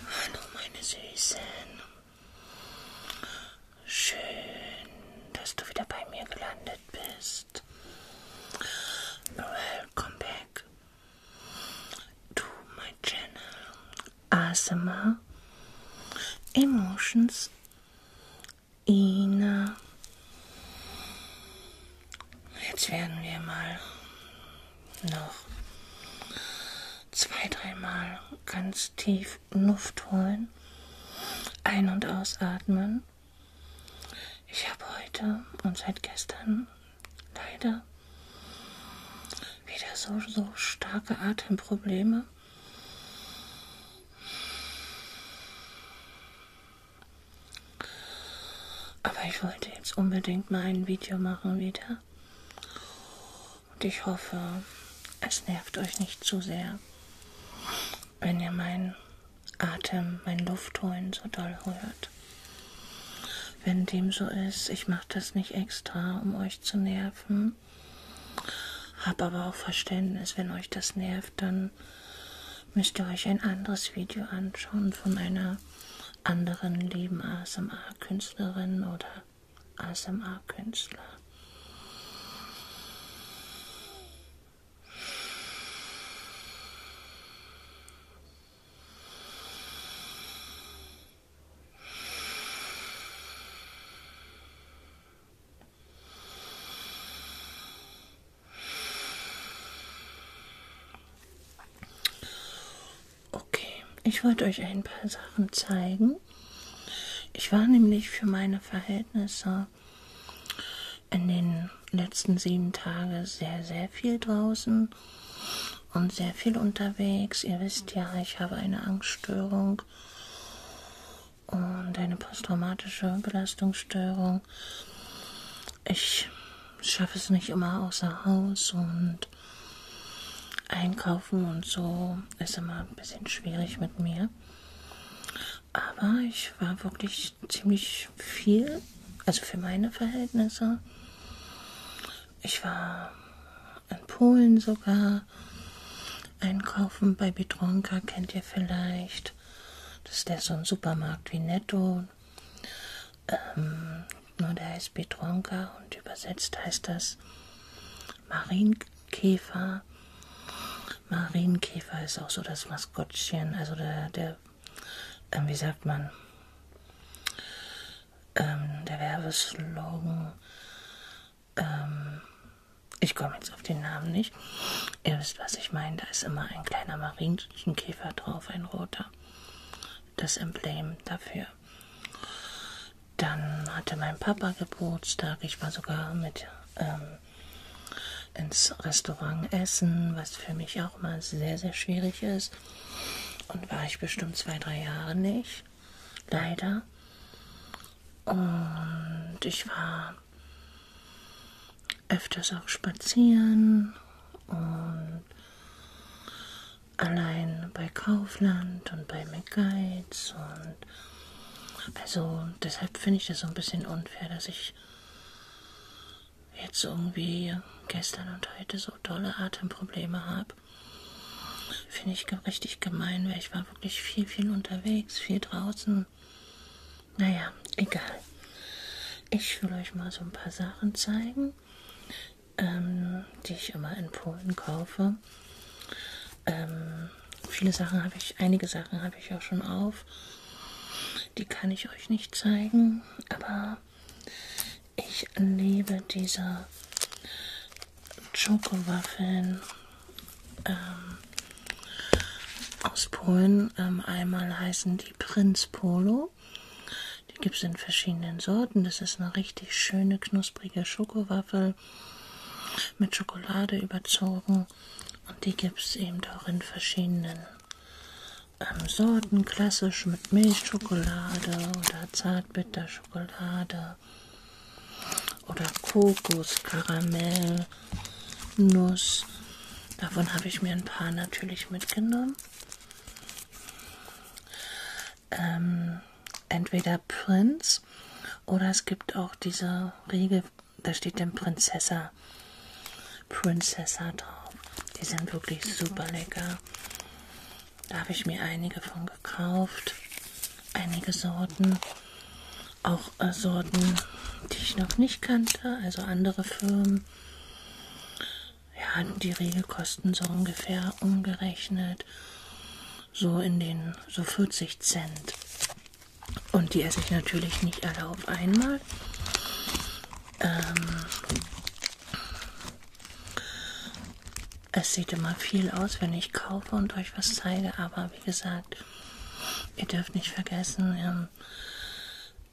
Hallo meine Süßen. Schön, dass du wieder bei mir gelandet bist. Welcome back to my channel. ASMR Emotions Ina. Jetzt werden wir mal noch zwei, dreimal ganz tief Luft holen, ein- und ausatmen. Ich habe heute und seit gestern leider wieder so, so starke Atemprobleme. Aber ich wollte jetzt unbedingt mal ein Video machen wieder. Und ich hoffe, es nervt euch nicht zu sehr, wenn ihr meinen Atem, mein Luftholen so doll hört. Wenn dem so ist, ich mache das nicht extra, um euch zu nerven. Hab aber auch Verständnis, wenn euch das nervt, dann müsst ihr euch ein anderes Video anschauen von einer anderen lieben ASMR-Künstlerin oder ASMR-Künstler. Okay, ich wollte euch ein paar Sachen zeigen. Ich war nämlich für meine Verhältnisse in den letzten sieben Tagen sehr, sehr viel draußen und sehr viel unterwegs. Ihr wisst ja, ich habe eine Angststörung Belastungssteuerung und eine posttraumatische Belastungsstörung. Ich schaffe es nicht immer außer Haus und einkaufen und so ist immer ein bisschen schwierig mit mir. Aber ich war wirklich ziemlich viel, also für meine Verhältnisse. Ich war in Polen sogar Winter einkaufen. Bei Bitronka kennt ihr vielleicht. Das ist ja so ein Supermarkt wie Netto. Ähm, nur der heißt Petronka und übersetzt heißt das Marienkäfer. Marienkäfer ist auch so das Maskottchen, also der, der ähm, wie sagt man, ähm, der Werbeslogan ähm, ich komme jetzt auf den Namen nicht. Ihr wisst, was ich meine. Da ist immer ein kleiner Marienkäfer drauf, ein roter. Das Emblem dafür. Dann hatte mein Papa Geburtstag. Ich war sogar mit ähm, ins Restaurant essen, was für mich auch mal sehr, sehr schwierig ist. Und war ich bestimmt zwei, drei Jahre nicht leider. Und ich war öfters auch spazieren und allein bei Kaufland und bei McGuides und also deshalb finde ich das so ein bisschen unfair, dass ich jetzt irgendwie gestern und heute so tolle Atemprobleme habe. Finde ich richtig gemein, weil ich war wirklich viel, viel unterwegs, viel draußen. Naja, egal. Ich will euch mal so ein paar Sachen zeigen, ähm, die ich immer in Polen kaufe. Ähm, viele Sachen habe ich, einige Sachen habe ich auch schon auf. Die kann ich euch nicht zeigen, aber ich liebe diese Schokowaffeln ähm, aus Polen. Ähm, einmal heißen die Prinz Polo. Die gibt es in verschiedenen Sorten. Das ist eine richtig schöne, knusprige Schokowaffel mit Schokolade überzogen. Und die gibt es eben auch in verschiedenen ähm, Sorten. Klassisch mit Milchschokolade oder Zartbitterschokolade oder Kokos, Karamell, Nuss. Davon habe ich mir ein paar natürlich mitgenommen. Ähm, entweder Prinz oder es gibt auch diese Riegel, da steht dann Prinzessa, Princessa drauf. Die sind wirklich super lecker. Da habe ich mir einige von gekauft. Einige Sorten. Auch äh, Sorten, die ich noch nicht kannte, also andere Firmen. Ja, die Regelkosten so ungefähr umgerechnet. So in den so 40 Cent. Und die esse ich natürlich nicht alle auf einmal. Ähm, es sieht immer viel aus, wenn ich kaufe und euch was zeige, aber wie gesagt, ihr dürft nicht vergessen, ähm,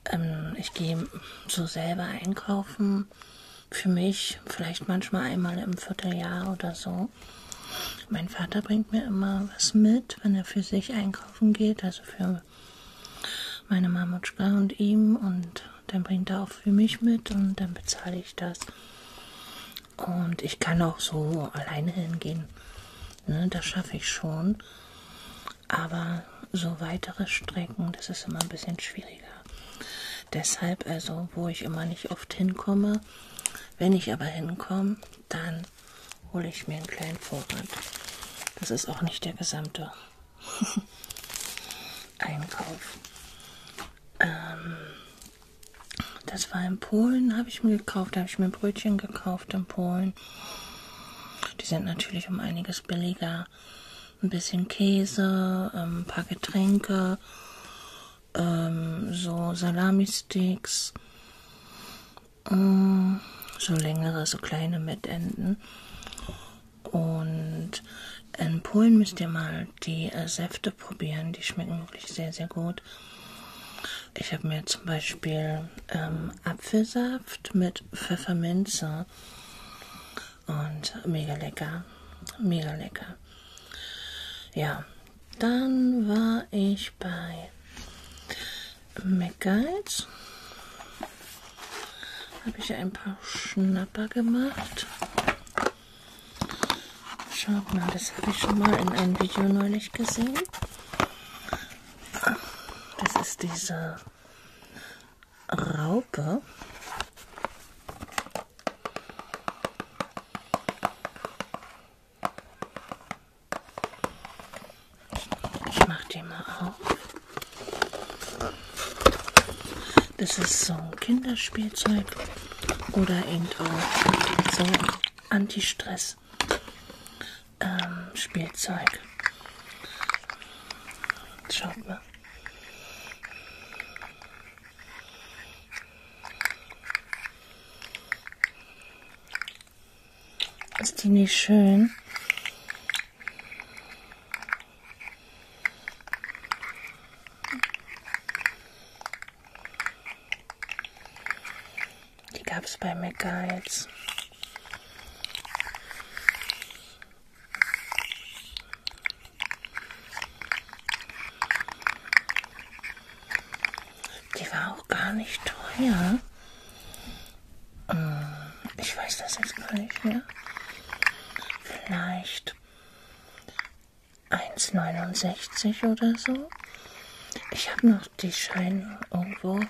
ähm, ich gehe so selber einkaufen. Für mich vielleicht manchmal einmal im Vierteljahr oder so. Mein Vater bringt mir immer was mit, wenn er für sich einkaufen geht, also für meine Mamutschka und ihm. Und dann bringt er auch für mich mit und dann bezahle ich das. Und ich kann auch so alleine hingehen. Ne, das schaffe ich schon. Aber so weitere Strecken, das ist immer ein bisschen schwieriger. Deshalb also, wo ich immer nicht oft hinkomme, wenn ich aber hinkomme, dann hole ich mir einen kleinen Vorrat. Das ist auch nicht der gesamte Einkauf. Ähm, das war in Polen, habe ich mir gekauft, habe ich mir Brötchen gekauft in Polen. Die sind natürlich um einiges billiger. Ein bisschen Käse, ähm, ein paar Getränke, ähm, so Salami-Sticks, ähm, so längere, so kleine Mettenden. Und in Polen müsst ihr mal die äh, Säfte probieren. Die schmecken wirklich sehr, sehr gut. Ich habe mir zum Beispiel ähm, Apfelsaft mit Pfefferminze und mega lecker, mega lecker. Ja, dann war ich bei McGuides. Habe ich ein paar Schnapper gemacht. Schaut mal, das habe ich schon mal in einem Video neulich gesehen. Das ist diese Raupe. Ich mache die mal auf. Das ist so ein Kinderspielzeug oder eben auch so Anti-Stress ähm, Spielzeug. Schaut mal. Ist die nicht schön? Die gab es bei McGuides. Die war auch gar nicht teuer. Ähm, ich weiß das jetzt gar nicht mehr. Vielleicht 1,69 oder so. Ich habe noch die Scheine irgendwo.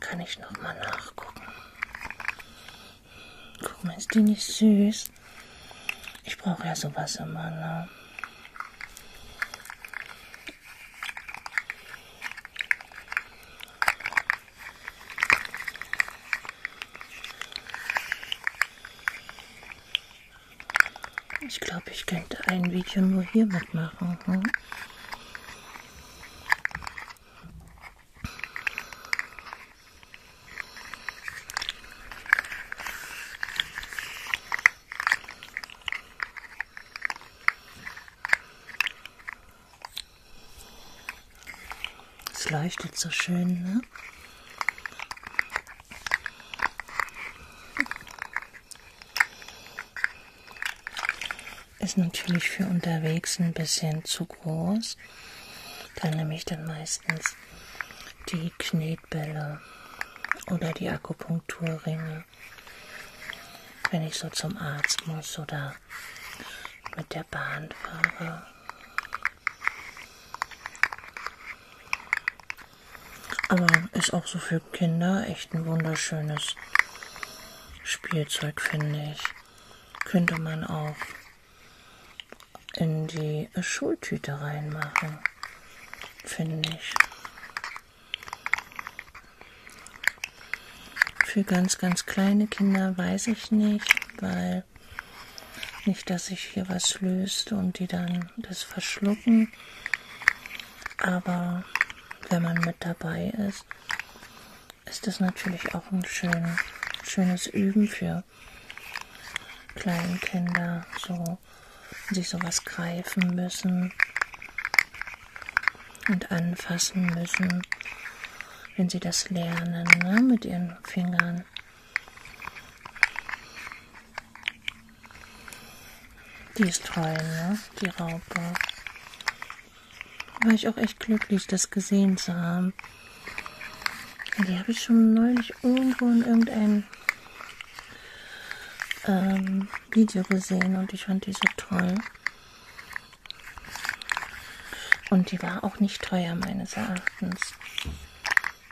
Kann ich noch mal nachgucken. Guck mal, ist die nicht süß? Ich brauche ja sowas immer, ne? Ich glaube, ich könnte ein Video nur hier mitmachen. Hm? Es leuchtet so schön, ne? ne? Ist natürlich für unterwegs ein bisschen zu groß. Da nehme ich dann meistens die Knetbälle oder die Akupunkturringe, wenn ich so zum Arzt muss oder mit der Bahn fahre. Aber ist auch so für Kinder echt ein wunderschönes Spielzeug, finde ich. Könnte man auch in die Schultüte reinmachen, finde ich. Für ganz, ganz kleine Kinder weiß ich nicht, weil nicht, dass sich hier was löst und die dann das verschlucken. Aber wenn man mit dabei ist, ist das natürlich auch ein schön, schönes Üben für kleine Kinder, so sich sowas greifen müssen und anfassen müssen, wenn sie das lernen ne, mit ihren Fingern. Die ist toll, ne? Die Raupe. War ich auch echt glücklich, das gesehen zu haben. Die habe ich schon neulich irgendwo in irgendeinem ähm, Video gesehen und ich fand die so toll. Und die war auch nicht teuer, meines Erachtens.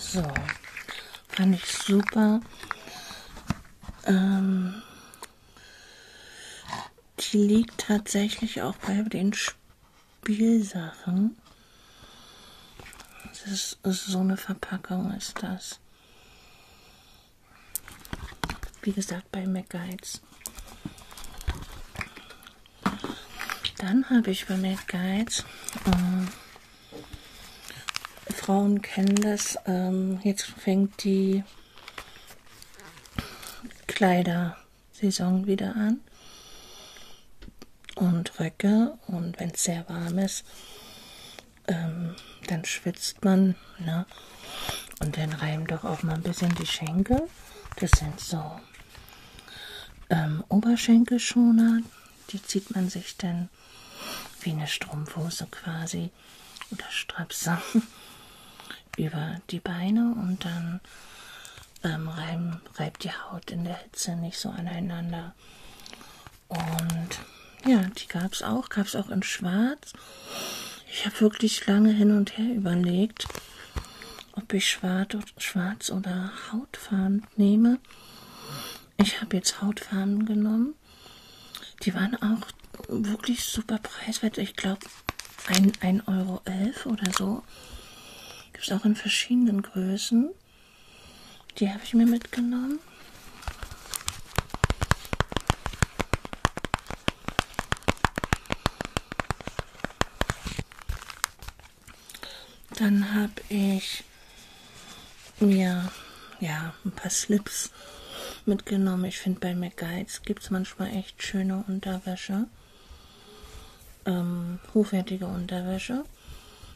So, fand ich super. Ähm, die liegt tatsächlich auch bei den Spielsachen. Das ist, ist so eine Verpackung ist das. Wie gesagt, bei McGuides. Dann habe ich bei McGuides äh, Frauen kennen das. Ähm, jetzt fängt die Kleidersaison wieder an. Und Röcke. Und wenn es sehr warm ist, ähm, dann schwitzt man. Ne? Und dann reiben doch auch mal ein bisschen die Schenkel. Das sind so ähm, Oberschenkelschoner. Die zieht man sich dann an, wie eine Strumpfhose quasi oder Strapse über die Beine und dann ähm, reiben, reibt die Haut in der Hitze nicht so aneinander. Und ja, die gab es auch, gab es auch in Schwarz. Ich habe wirklich lange hin und her überlegt, ob ich Schwarz, Schwarz oder Hautfarben nehme. Ich habe jetzt Hautfarben genommen. Die waren auch wirklich super preiswert. Ich glaube 1,11 Euro elf oder so. Gibt es auch in verschiedenen Größen. Die habe ich mir mitgenommen. Dann habe ich mir ja ein paar Slips mitgenommen. Ich finde bei McGuides gibt es manchmal echt schöne Unterwäsche. Ähm, hochwertige Unterwäsche.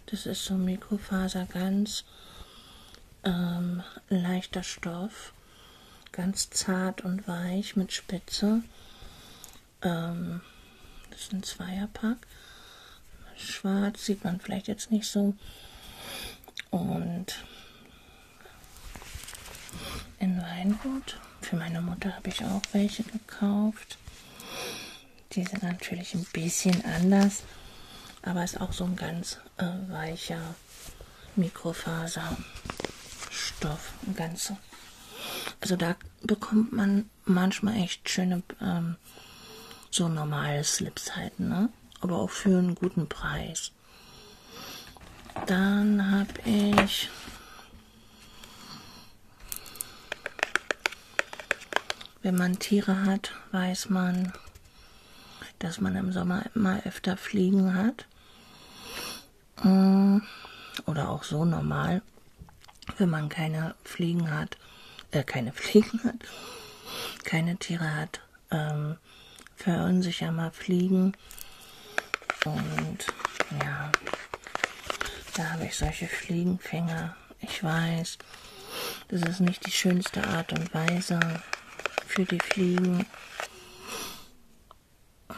Das ist so Mikrofaser, ganz ähm, leichter Stoff, ganz zart und weich mit Spitze. Ähm, das ist ein Zweierpack schwarz, sieht man vielleicht jetzt nicht so. Und in Weingut. Für meine Mutter habe ich auch welche gekauft. Die sind natürlich ein bisschen anders, aber ist auch so ein ganz äh, weicher Mikrofaserstoff. Ganz, also da bekommt man manchmal echt schöne äh, ähm, so normale Slips halt, ne? Aber auch für einen guten Preis. Dann habe ich Wenn man Tiere hat, weiß man, dass man im Sommer immer öfter Fliegen hat. Mm, oder auch so normal, wenn man keine Fliegen hat hat, äh, keine Fliegen hat, keine Tiere hat, ähm, verunsicher mal Fliegen. Und ja, da habe ich solche Fliegenfänger. Ich weiß, das ist nicht die schönste Art und Weise für die Fliegen,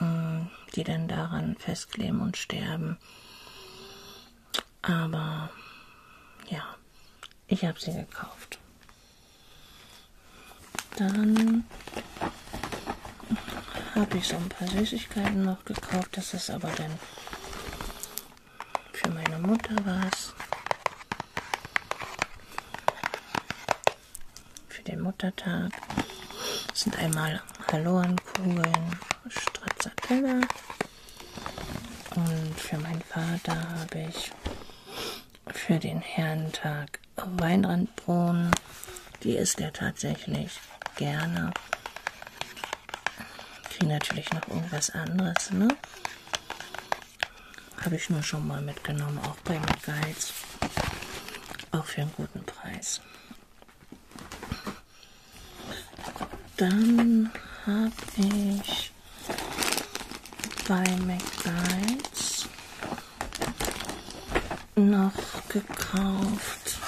ähm, die dann daran festkleben und sterben. Aber ja, ich habe sie gekauft. Dann habe ich so ein paar Süßigkeiten noch gekauft. Das ist aber dann für meine Mutter was. Für den Muttertag das sind einmal Hallorenkugeln, Stracciatella, und für meinen Vater habe ich für den Herrentag Weinrandbohnen. Die isst er tatsächlich gerne. Kriege natürlich noch irgendwas anderes, ne? Habe ich nur schon mal mitgenommen, auch bei McGuides. Auch für einen guten Preis. Dann habe ich bei McDonald's noch gekauft.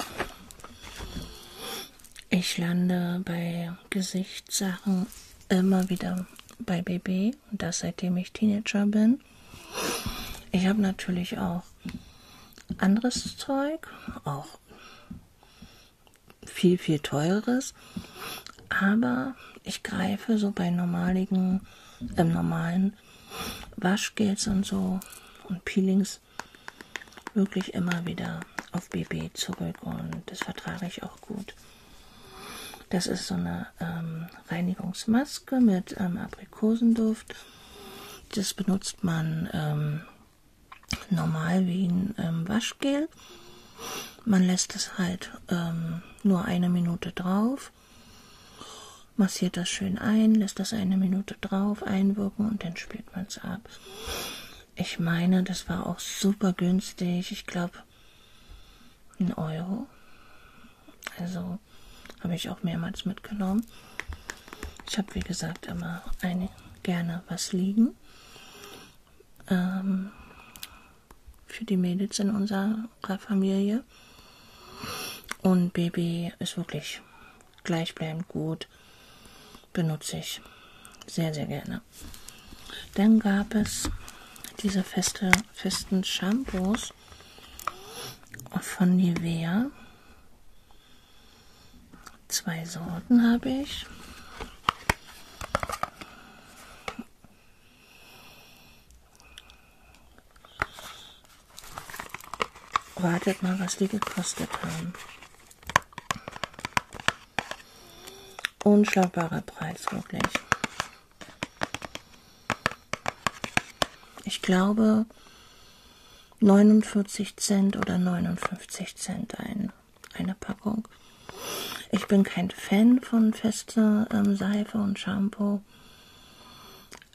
Ich lande bei Gesichtssachen immer wieder bei BB und das seitdem ich Teenager bin. Ich habe natürlich auch anderes Zeug, auch viel, viel teureres. Aber ich greife so bei normaligen, äh, normalen Waschgels und so und Peelings wirklich immer wieder auf BB zurück und das vertrage ich auch gut. Das ist so eine ähm, Reinigungsmaske mit ähm, Aprikosenduft. Das benutzt man ähm, normal wie ein ähm, Waschgel. Man lässt es halt ähm, nur eine Minute drauf, massiert das schön ein, lässt das eine Minute drauf einwirken und dann spült man es ab. Ich meine, das war auch super günstig. Ich glaube, ein Euro. Also habe ich auch mehrmals mitgenommen. Ich habe, wie gesagt, immer eine, gerne was liegen ähm, für die Mädels in unserer Familie. Und Baby ist wirklich gleichbleibend gut. Benutze ich sehr, sehr gerne. Dann gab es diese feste, festen Shampoos von Nivea. Zwei Sorten habe ich. Wartet mal, was die gekostet haben. Unschlagbarer Preis, wirklich. Ich glaube 49 Cent oder 59 Cent ein eine Packung. Ich bin kein Fan von fester ähm, Seife und Shampoo,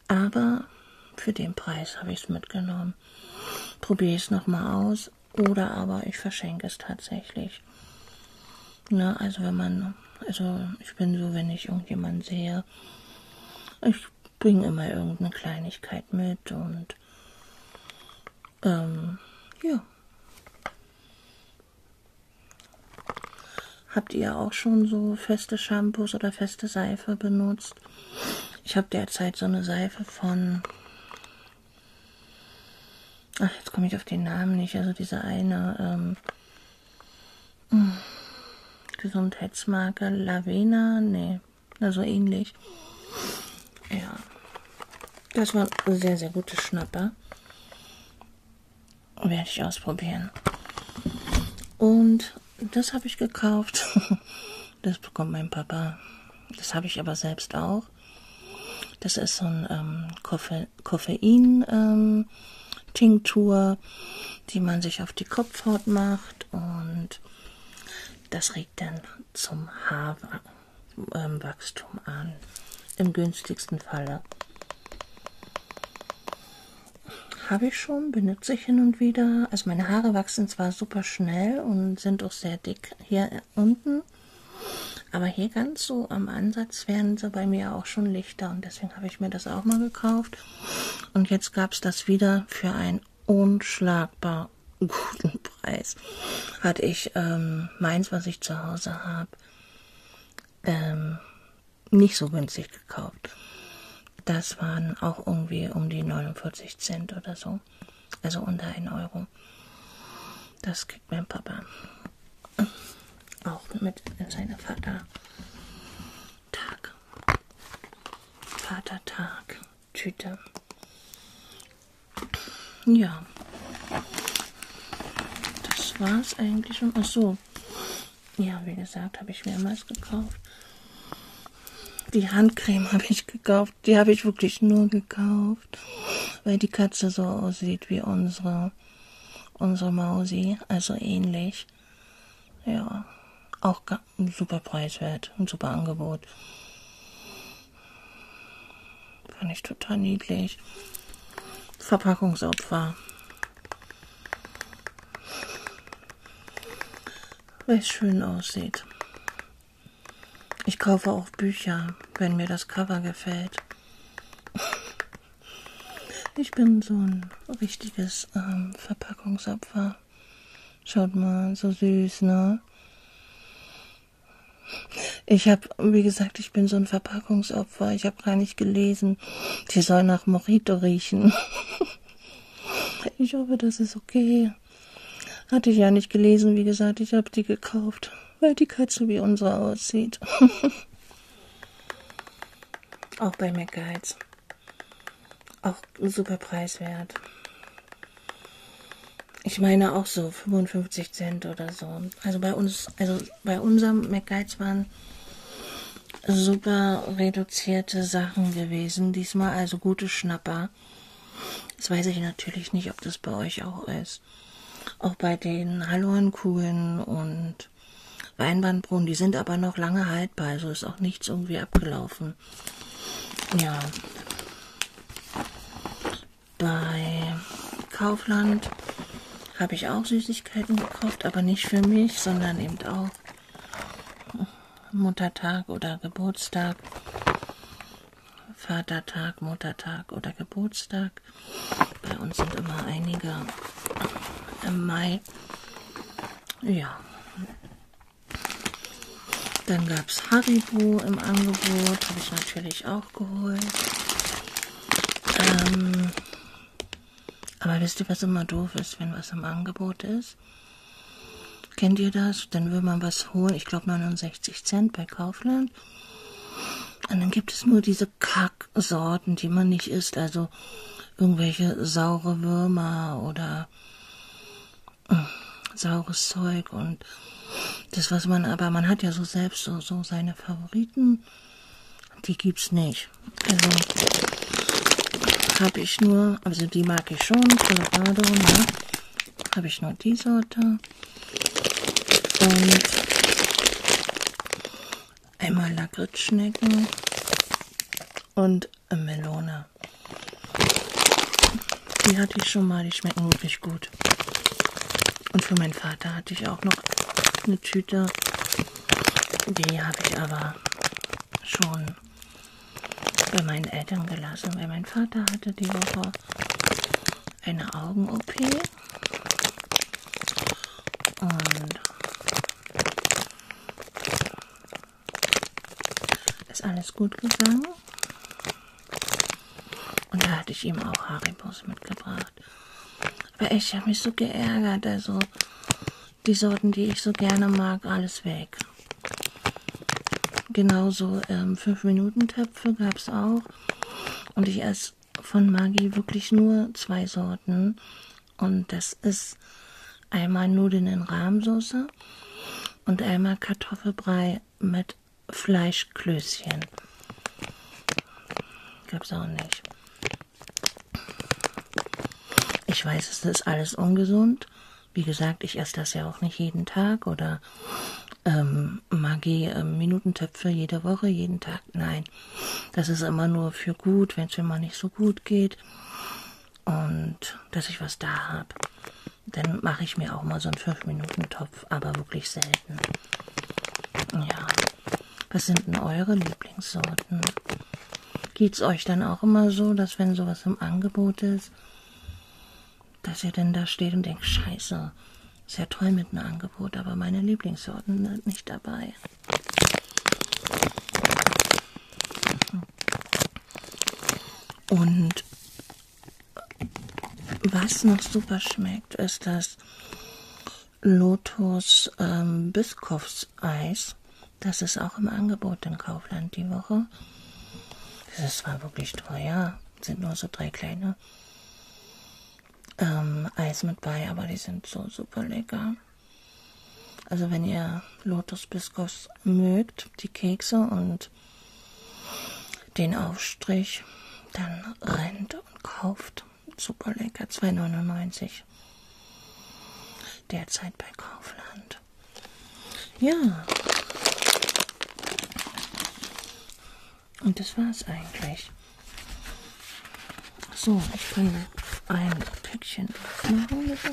aber für den Preis habe ich es mitgenommen. Probiere ich es nochmal aus oder aber ich verschenke es tatsächlich. Ne, also wenn man, also ich bin so, wenn ich irgendjemanden sehe, ich bringe immer irgendeine Kleinigkeit mit und ähm, ja. Habt ihr auch schon so feste Shampoos oder feste Seife benutzt? Ich habe derzeit so eine Seife von. Ach, jetzt komme ich auf den Namen nicht. Also diese eine ähm, mm, Gesundheitsmarke Lavena, nee, also ähnlich. Ja. Das war ein sehr, sehr gutes Schnapper. Werde ich ausprobieren. Und das habe ich gekauft. Das bekommt mein Papa. Das habe ich aber selbst auch. Das ist so ein ähm, Koffe Koffein. Ähm, Tinktur, die man sich auf die Kopfhaut macht und das regt dann zum Haar ähm, Wachstum an. Im günstigsten Falle. Habe ich schon, benutze ich hin und wieder. Also meine Haare wachsen zwar super schnell und sind auch sehr dick hier unten, aber hier ganz so am Ansatz werden sie bei mir auch schon lichter und deswegen habe ich mir das auch mal gekauft. Und jetzt gab es das wieder für ein unschlagbar guten Preis hatte ich ähm, meins, was ich zu Hause habe, ähm, nicht so günstig gekauft. Das waren auch irgendwie um die 49 Cent oder so. Also unter 1 Euro. Das kriegt mein Papa. Auch mit seinem Vater. Tag. Vatertag. Tüte. Ja. Das war's eigentlich schon. Ach so. Ja, wie gesagt, habe ich mehrmals gekauft. Die Handcreme habe ich gekauft. Die habe ich wirklich nur gekauft, weil die Katze so aussieht wie unsere, unsere Mausi. Also ähnlich. Ja, auch super preiswert und super Angebot. Fand ich total niedlich. Verpackungsopfer. Weil es schön aussieht. Ich kaufe auch Bücher, wenn mir das Cover gefällt. Ich bin so ein richtiges ähm, Verpackungsopfer. Schaut mal, so süß, ne? Ich habe, wie gesagt, ich bin so ein Verpackungsopfer. Ich habe gar nicht gelesen. Die soll nach Morito riechen. ich hoffe, das ist okay. Hatte ich ja nicht gelesen, wie gesagt. Ich habe die gekauft, weil die Katze wie unsere aussieht. Auch bei McGuides. Auch super preiswert. Ich meine auch so 55 Cent oder so. Also bei uns, also bei unserem McGuides waren super reduzierte Sachen gewesen. Diesmal also gute Schnapper. Das weiß ich natürlich nicht, ob das bei euch auch ist. Auch bei den Hallorenkugeln und Weinbandbrunnen, die sind aber noch lange haltbar, also ist auch nichts irgendwie abgelaufen. Ja bei Kaufland habe ich auch Süßigkeiten gekauft, aber nicht für mich, sondern eben auch Muttertag oder Geburtstag, Vatertag, Muttertag oder Geburtstag. Bei uns sind immer einige im Mai. Ja, dann gab es Haribo im Angebot, habe ich natürlich auch geholt. Ähm, aber wisst ihr, was immer doof ist, wenn was im Angebot ist? Kennt ihr das? Dann will man was holen, ich glaube 69 Cent bei Kaufland. Und dann gibt es nur diese Kacksorten, die man nicht isst, also irgendwelche saure Würmer oder saures Zeug und das, was man, aber man hat ja so selbst so, so seine Favoriten, die gibt's nicht. Also habe ich nur, also die mag ich schon, Colorado, ne? Habe ich nur die Sorte. Und einmal Lakritzschnecken und Melone. Die hatte ich schon mal, die schmecken wirklich gut. Und für meinen Vater hatte ich auch noch eine Tüte. Die habe ich aber schon bei meinen Eltern gelassen, weil mein Vater hatte die Woche eine Augen-OP. Und ist alles gut gegangen. Und da hatte ich ihm auch Haribos mitgebracht. Aber ich habe mich so geärgert, also die Sorten, die ich so gerne mag, alles weg. Genauso ähm, 5-Minuten-Töpfe gab es auch. Und ich esse von Maggi wirklich nur zwei Sorten. Und das ist einmal Nudeln in Rahmsoße und einmal Kartoffelbrei mit Fleischklößchen. Gibt's auch nicht. Ich weiß, es ist alles ungesund. Wie gesagt, ich esse das ja auch nicht jeden Tag oder ähm, Magie äh, Minutentöpfe jede Woche, jeden Tag. Nein, das ist immer nur für gut, wenn es mir mal nicht so gut geht und dass ich was da habe. Dann mache ich mir auch mal so einen 5-Minuten-Topf, aber wirklich selten. Ja. Was sind denn eure Lieblingssorten? Geht's euch dann auch immer so, dass wenn sowas im Angebot ist, dass ihr dann da steht und denkt, scheiße, ist ja toll mit einem Angebot, aber meine Lieblingssorten sind nicht dabei. Und was noch super schmeckt, ist das Lotus ähm, Biskopfseis. Das ist auch im Angebot in Kaufland die Woche. Das ist zwar wirklich teuer, sind nur so drei kleine ähm, Eis mit bei, aber die sind so super lecker. Also wenn ihr Lotus Biskopf mögt, die Kekse und hat. Den Aufstrich, dann rennt und kauft. Super lecker, 2,99. Derzeit bei Kaufland. Ja. Und das war's eigentlich. So, ich kann ein Päckchen aufmachen mit euch.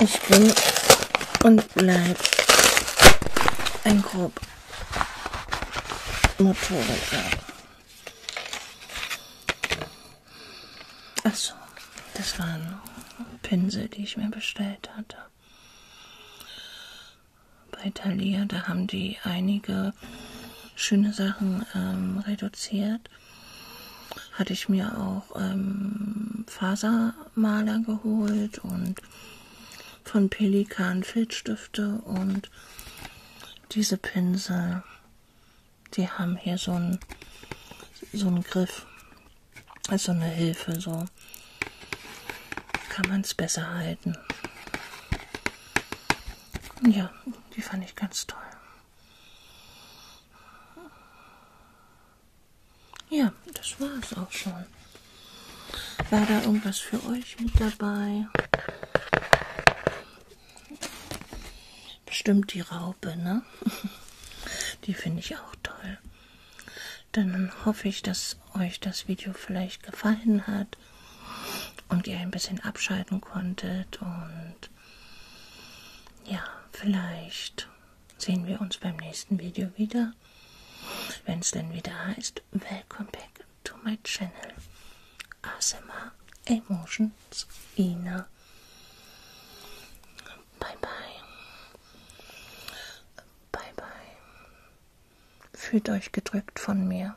Ich bin und bleib ein grob Motorradfahrer. Achso, das waren Pinsel, die ich mir bestellt hatte. Bei Thalia, da haben die einige schöne Sachen ähm, reduziert hatte ich mir auch ähm, Fasermaler geholt und von Pelikan Filzstifte und diese Pinsel, die haben hier so einen so einen Griff, also eine Hilfe, so kann man es besser halten. Ja, die fand ich ganz toll. Ja, das war es auch schon. War da irgendwas für euch mit dabei? Bestimmt die Raupe, ne? Die finde ich auch toll. Dann hoffe ich, dass euch das Video vielleicht gefallen hat und ihr ein bisschen abschalten konntet und ja, vielleicht sehen wir uns beim nächsten Video wieder, wenn es denn wieder heißt, Welcome back to my channel. ASMR Emotions Ina. Bye bye. Bye bye. Fühlt euch gedrückt von mir.